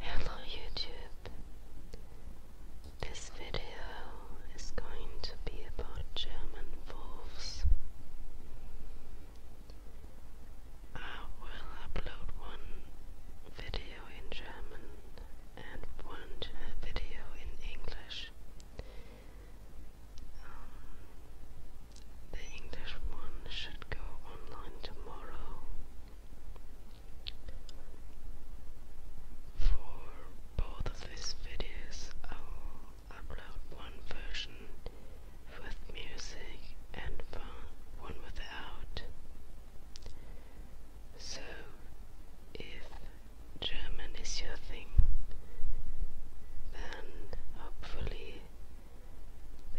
Hello, YouTube. This video is going to be about German wolves. I will upload one video in German and one video in English. Um, the English one should go online tomorrow for both of these videos I will upload one version with music and one without so, if German is your thing, then hopefully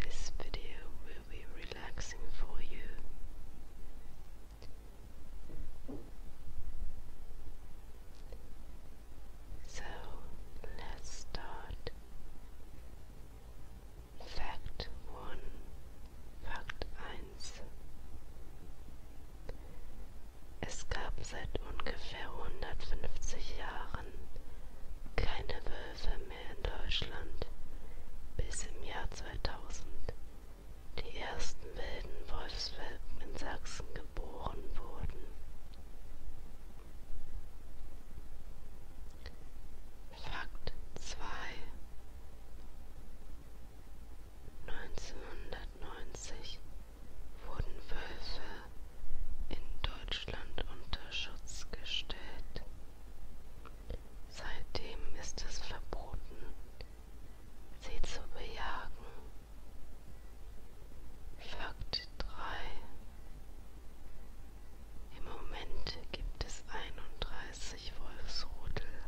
this video will be relaxing for you. So, let's start. Fact 1, Fakt 1. Es gab seit ungefähr 150 Jahren keine Wölfe mehr in Deutschland, bis im Jahr 2000 die ersten wilden Wolfswelpen in Sachsen geboren wurden. Fakt 2 1990 wurden Wölfe in Deutschland unter Schutz gestellt. Seitdem ist es verboten, sie zu bejagen. Fakt 3 Im Moment gibt es 31 dreißig Wolfsrudel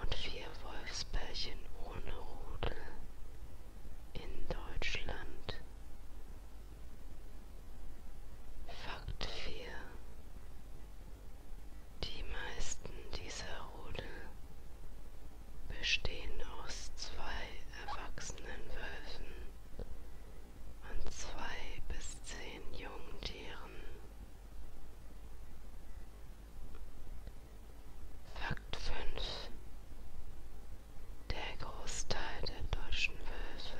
und vier Wolfspärchen ohne Rudel in Deutschland. Fakt 4 Die meisten dieser Rudel bestehen aus zwei erwachsenen Wölfen und zwei bis zehn Jungtieren. Fakt 5. Der Großteil der deutschen Wölfe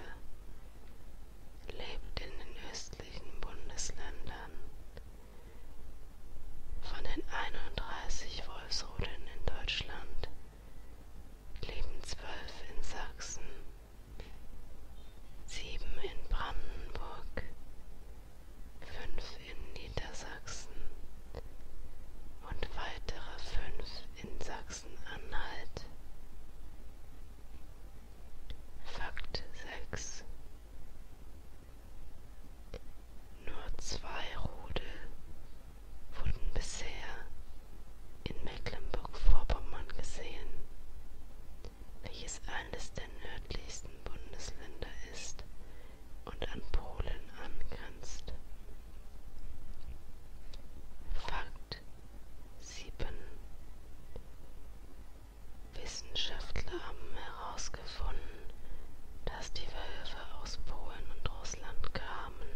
lebt in den östlichen Bundesländern. Von den 31 Wolfsrudeln in Deutschland leben 12 in Sachsen, 7 in Brandenburg, fünf in Niedersachsen und weitere fünf in Sachsen-Anhalt. Fakt 6 Nur zwei Rudel wurden bisher in Mecklenburg-Vorpommern gesehen welches eines der nördlichsten Bundesländer ist und an Polen angrenzt. Fakt 7 Wissenschaftler haben herausgefunden, dass die Wölfe aus Polen und Russland kamen.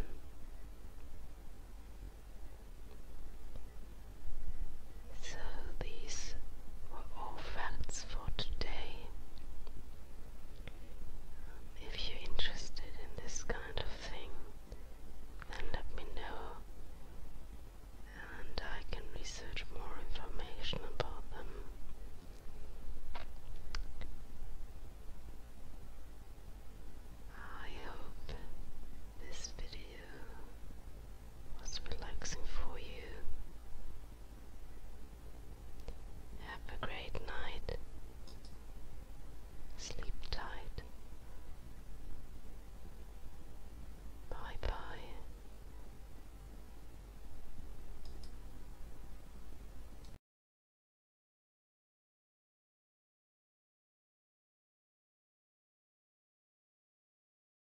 So, these were all facts for today. If you're interested in this kind of thing, then let me know and I can research more information about them. I hope this video was relaxing for you. Have a great night. Sleep tight. Bye bye.